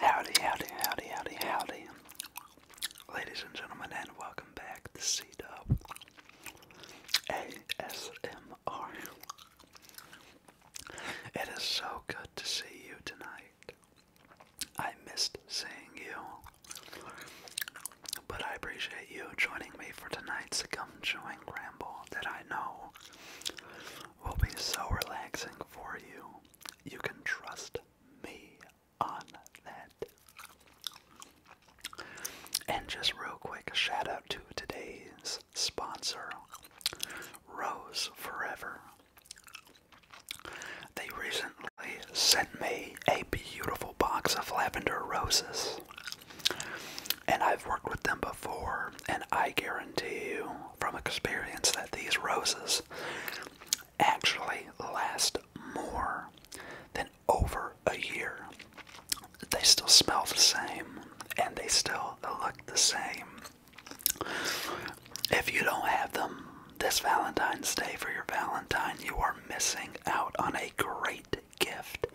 Howdy, howdy, howdy, howdy, howdy. Ladies and gentlemen, and welcome back to C Dub ASMR. It is so good to see you tonight. I missed seeing you, but I appreciate you joining me for tonight's Gum Chewing Ramble that I know will be so relaxing for you. You can trust me on that. And just real quick, a shout out to today's sponsor, Rose Forever. They recently sent me a beautiful box of lavender roses. And I've worked with them before, and I guarantee you from experience that these roses actually last more than over a year. They still smell the same and they still look the same. If you don't have them this Valentine's Day for your Valentine, you are missing out on a great gift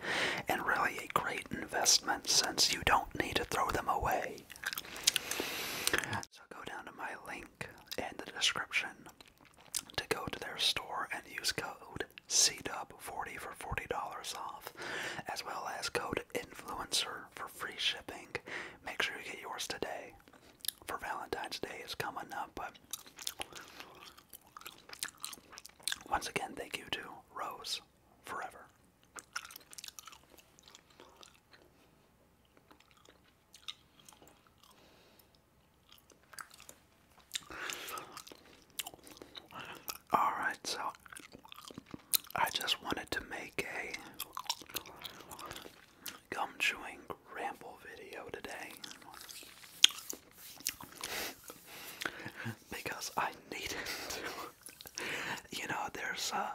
and really a great investment since you don't need to throw them away today. So go down to my link in the description to go to their store and use code CDUB40 for $40 off, as well as code INFLUENCER for free shipping. Make sure you get yours today. For Valentine's Day is coming up, but once again, thank you to Rose Forever. All right, so I just wanted to make a gum chewing ramble video today because I needed to. you know, there's uh,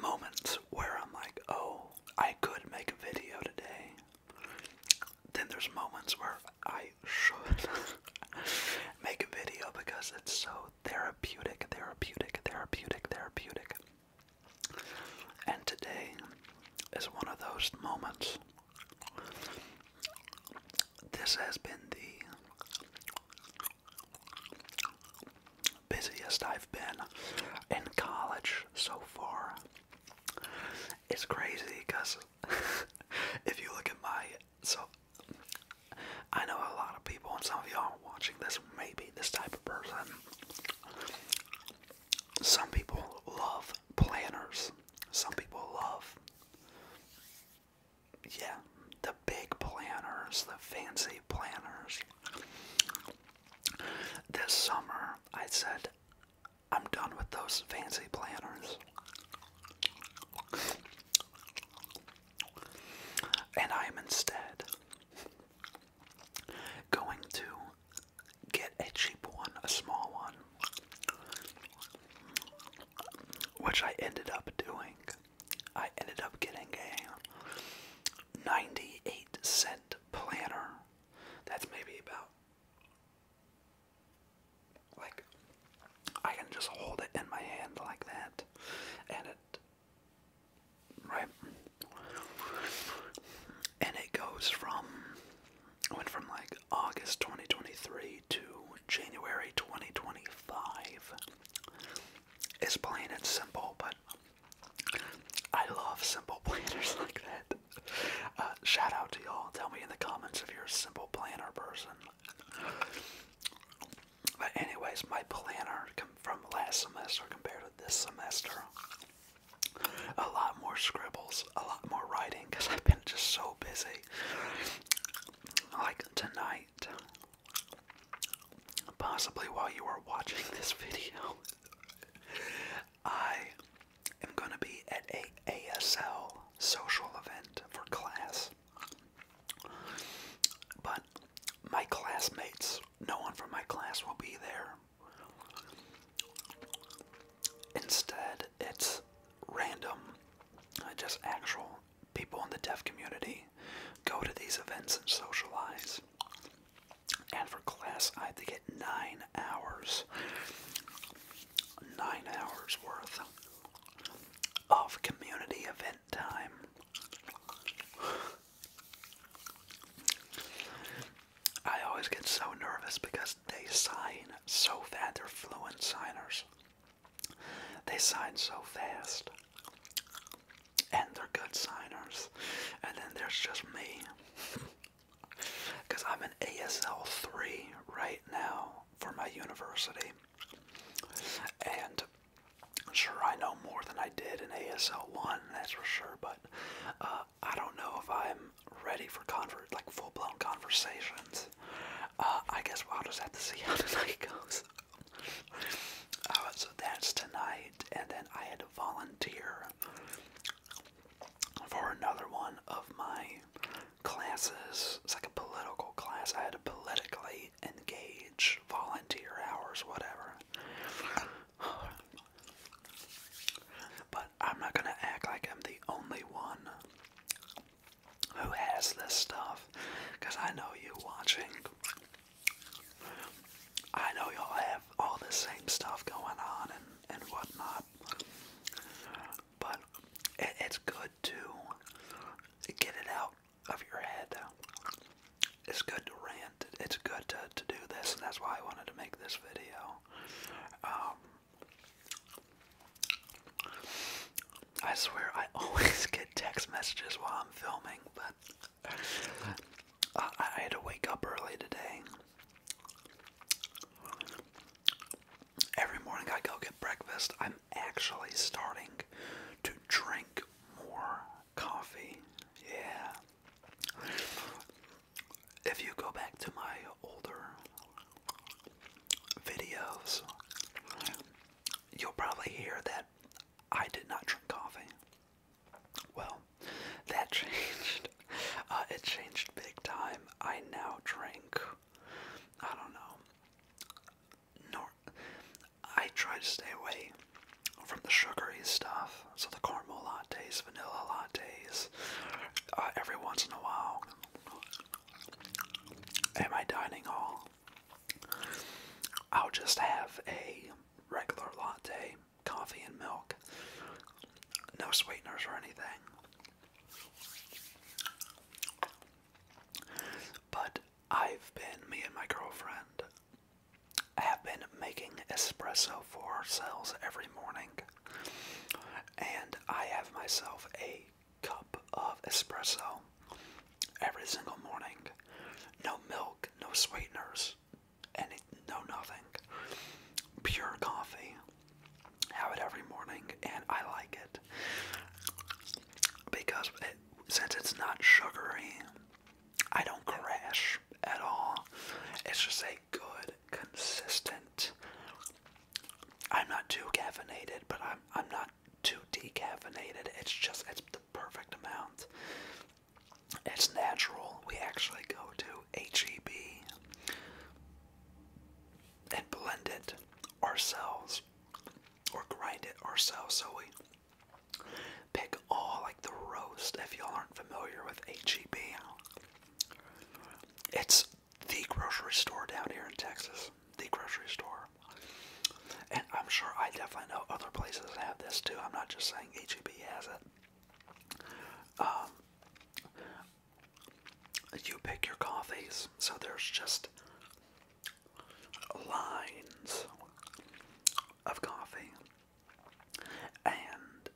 moments where I'm like, oh, I could make a video today. Then there's moments where I should make a video because it's so therapeutic, therapeutic, therapeutic, therapeutic. And today is one of those moments. This has been the busiest I've been in college so far. It's crazy because if you look at my so I know a lot of people and some of y'all watching this maybe this type of person. Some people love planners. Some people love yeah, the big planners, the fancy planners. This summer, I said, I'm done with those fancy planners. And I am instead going to get a cheap one, a small one, which I ended up doing. I ended up getting a 98 cent planner. That's maybe about like I can just hold it in my hand like that and it right and it goes from went from like August 2023 to January 2025 it's plain and simple, but I love simple planners like that. Uh, shout out to y'all. Tell me in the comments if you're a simple planner person. But anyways, my planner from last semester compared to this semester, a lot more scribbles, a lot more writing because I've been just so busy. Like tonight, possibly while you are watching this video, I am going to be at a ASL social event for class. But my classmates, no one from my class will be there. Instead, it's random, just actual people in the deaf community go to these events and socialize. And for class, I had to get nine hours, nine hours worth of community event time. I always get so nervous because they sign so fast, they're fluent signers. They sign so fast. And they're good signers. And then there's just me. Because I'm in ASL 3 right now for my university. And sure, I know more than I did in ASL 1, that's for sure, but uh, I don't know if I'm ready for convert like full blown conversations. Uh, I guess we will just have to see how tonight goes. Oh, so that's tonight, and then I had to volunteer for another one of my classes. It's like a political class. I had to politically engage, volunteer hours, whatever. But I'm not gonna act like I'm the only one who has this stuff because I know you watching. I know y'all have all the same stuff going on and, and whatnot. But it's good to get it out of your head. It's good to rant. It's good to, to do this, and that's why I wanted to make this video. Um, I swear I always get text messages while I'm filming, but I, had to wake up early today. Every morning I go get breakfast. I'm actually starting to drink more coffee. Yeah. If you go back to my older videos, you'll probably hear that I did not drink coffee. Well, that changed. Uh, it changed big time. I now drink. I don't know. Nor I try to stay away from the sugary stuff. So the caramel lattes, vanilla lattes. Uh, every once in a while, at my dining hall, I'll just have a regular latte, coffee and milk. No sweeteners or anything. But I've been, me and my girlfriend, have been making espresso for ourselves every morning. And I have myself a cup of espresso every single morning. No milk, no sweeteners, any no nothing. Pure coffee. Have it every morning, and I like it because since it's not sugary, I don't crash at all. It's just a good, consistent. I'm not too caffeinated, but I'm I'm not too decaffeinated. It's just it's the perfect amount. It's natural. We actually go to HEB and blend it ourselves or grind it ourselves. So we pick all like the roast. If y'all aren't familiar with HEB, it's the grocery store down here in Texas. The grocery store. And I'm sure I definitely know other places have this too. I'm not just saying HEB has it. Um, you pick your coffees, so there's just lines of coffee, and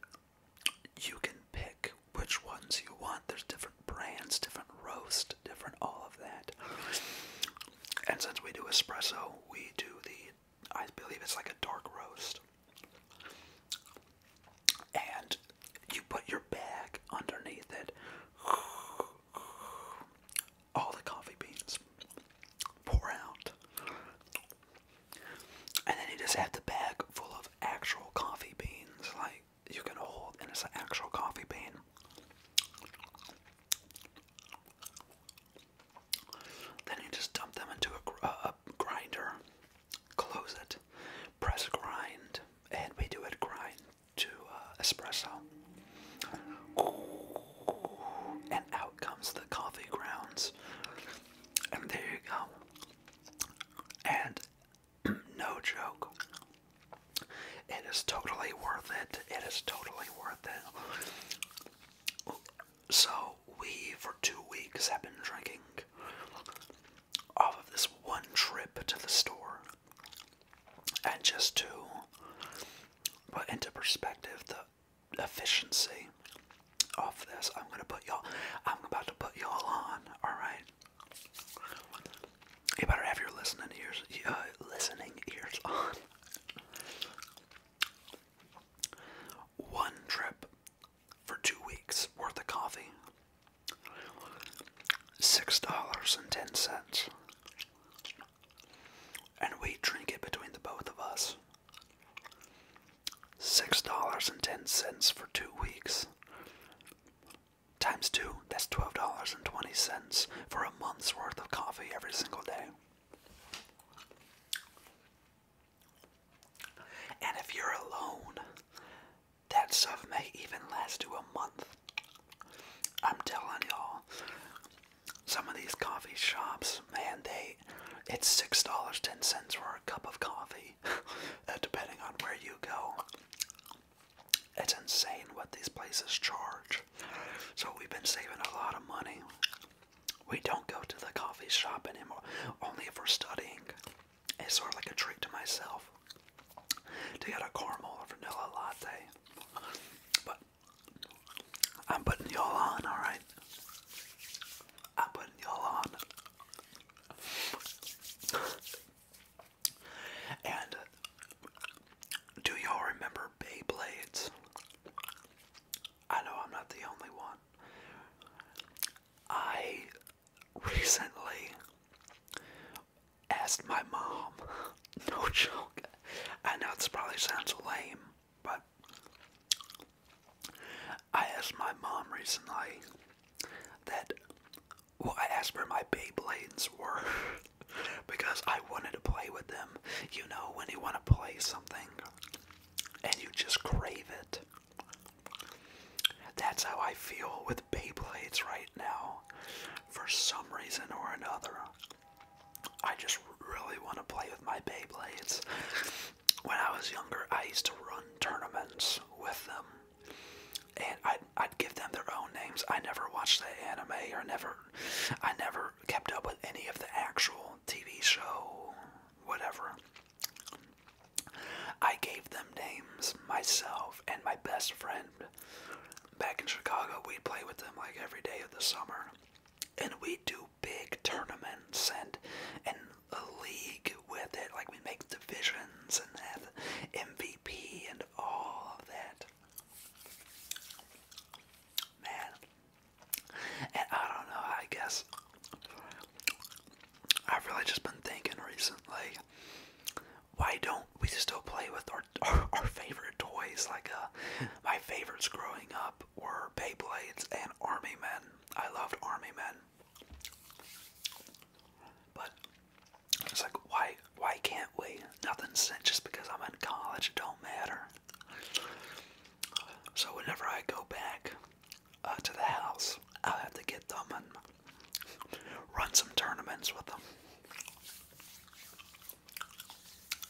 you can pick which ones you want. There's different brands, different roast, different all of that. And since we do espresso, we do the, I believe it's like a dark roast. And you put your bag underneath it, all the coffee beans pour out. And then you just have the bag full of actual coffee beans, like you can hold, and it's an actual coffee bean. Then you just dump them into uh, a, grinder, close it, press grind, and we do it grind to uh, espresso. and out comes the coffee grounds. And there you go. And no joke, it is totally worth it. It is totally worth it. So, we for two weeks have been drinking off of this one trip to the store. And just to put into perspective the efficiency of this, I'm gonna put y'all, I'm about to put y'all on, alright? You better have your listening ears, uh, listening ears on. One trip for two weeks worth of coffee. Six dollars and ten cents. And we drink it between the both of us. Six dollars and ten cents for two weeks. Times two that's $12.20 for a month's worth of coffee every single day. And if you're alone, that stuff may even last you a month. I'm telling y'all, some of these coffee shops, man, they it's six dollars ten cents for a cup of coffee, depending on where you go. It's insane what these places charge. So we've been saving a lot of money. We don't go to the coffee shop anymore, only if we're studying. It's sort of like a treat to myself to get a caramel or vanilla latte. But I'm putting y'all on, alright? I'm putting y'all on. and do y'all remember Beyblades? I know I'm not the only one. I recently asked my mom, no joke, I know this probably sounds lame, but I asked my mom recently that, well, I asked where my Beyblades were. because I wanted to play with them. You know, when you want to play something and you just crave it. That's how I feel with Beyblades right now. For some reason or another, I just really want to play with my Beyblades. When I was younger, I used to run tournaments with them. And i I'd give them their own names. I never watched the anime or never, I never kept up with any of the actual TV show, whatever. I gave them names myself and my best friend. Back in Chicago, we'd play with them like every day of the summer. And we do big tournaments and and a league with it. Like we make divisions and that MVP and all of that man. And I don't know, I guess I've really just been thinking recently, why don't we still play with our our, favorite toys? Like uh, my favorites growing up were Beyblades and Army Men. I loved Army Men. But it's like why why can't we? Nothing's sent just because I'm in college. It don't matter. So whenever I go back uh, to the house, I'll have to get them and run some tournaments with them.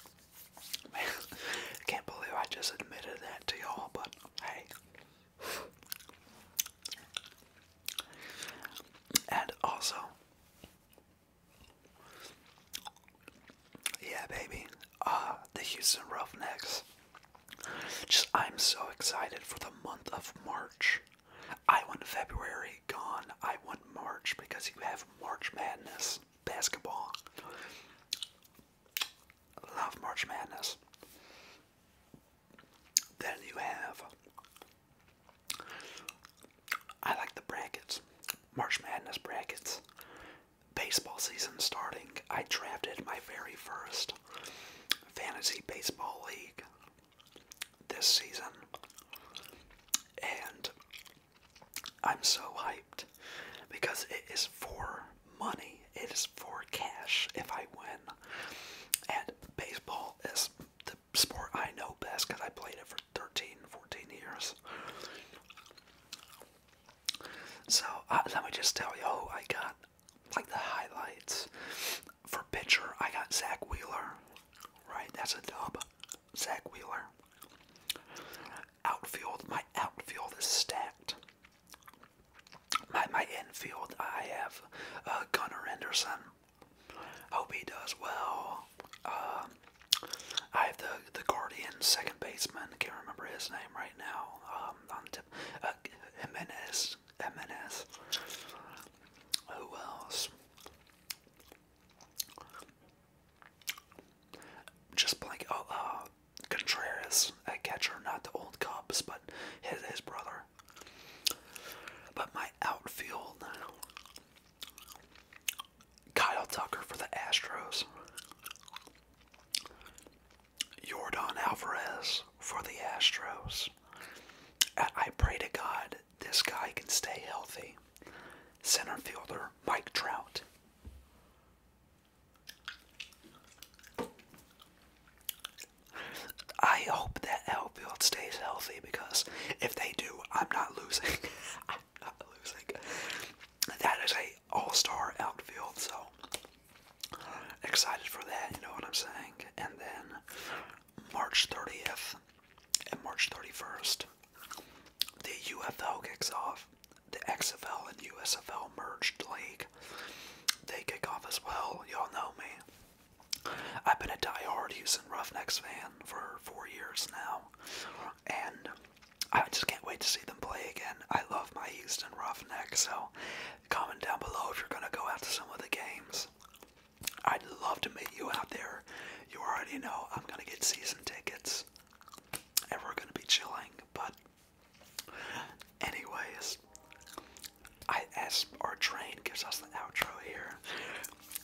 I can't believe I just admitted that to y'all, but hey. And also, yeah, baby. Ah, the Houston Roughnecks. Just, I'm so excited for the month of March. I want February gone. I want March because you have March Madness basketball. Love March Madness. Then you have I like the brackets. March Madness brackets. Baseball season starting, I drafted my very first fantasy baseball league this season. And I'm so hyped because it is for money, it is for cash if I win. And baseball is the sport I know best because I played it for 13, 14 years. So uh, let me just tell you who I got, like the highlights. For pitcher, I got Zach Wheeler, right? That's a dub. Zach Wheeler. Outfield, my outfield is stacked. My my infield, I have uh, Gunnar Henderson, Hope he does well. Um, I have the the Guardian second baseman. Can't remember his name right now. Um, on uh, Who else? Just blank. Oh, uh, Contreras at catcher, not the old Cubs, but his his brother. But my outfield. Kyle Tucker for the Astros. Jordan Alvarez for the Astros. I pray to God this guy can stay healthy. Center fielder Mike Trout. I hope that outfield stays healthy because if they do, I'm not losing. not losing. That is a all-star outfield, so excited for that. You know what I'm saying? And then March 30th and March 31st, the UFL kicks off. The XFL and USFL merged league. They kick off as well. Y'all know me. I've been a die-hard Houston Roughnecks fan for four years now and I just can't wait to see them play again. I love my Houston Roughnecks, so comment down below if you're gonna go out to some of the games. I'd love to meet you out there. You already know I'm gonna get season tickets, and we're gonna be chilling. But, anyways, as our train gives us the outro here,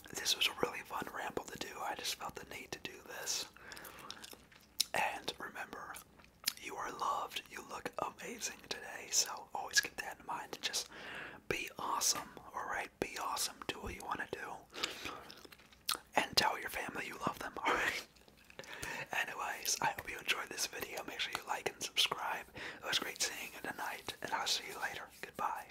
this was a really fun ramble to do. I just felt the need to do this. And remember, you are loved. You look amazing today. So always keep that in mind and just be awesome. Alright? Be awesome. Do what you want to do. And tell your family you love them. Alright? Anyways, I hope you enjoyed this video. Make sure you like and subscribe. It was great seeing you tonight. And I'll see you later. Goodbye.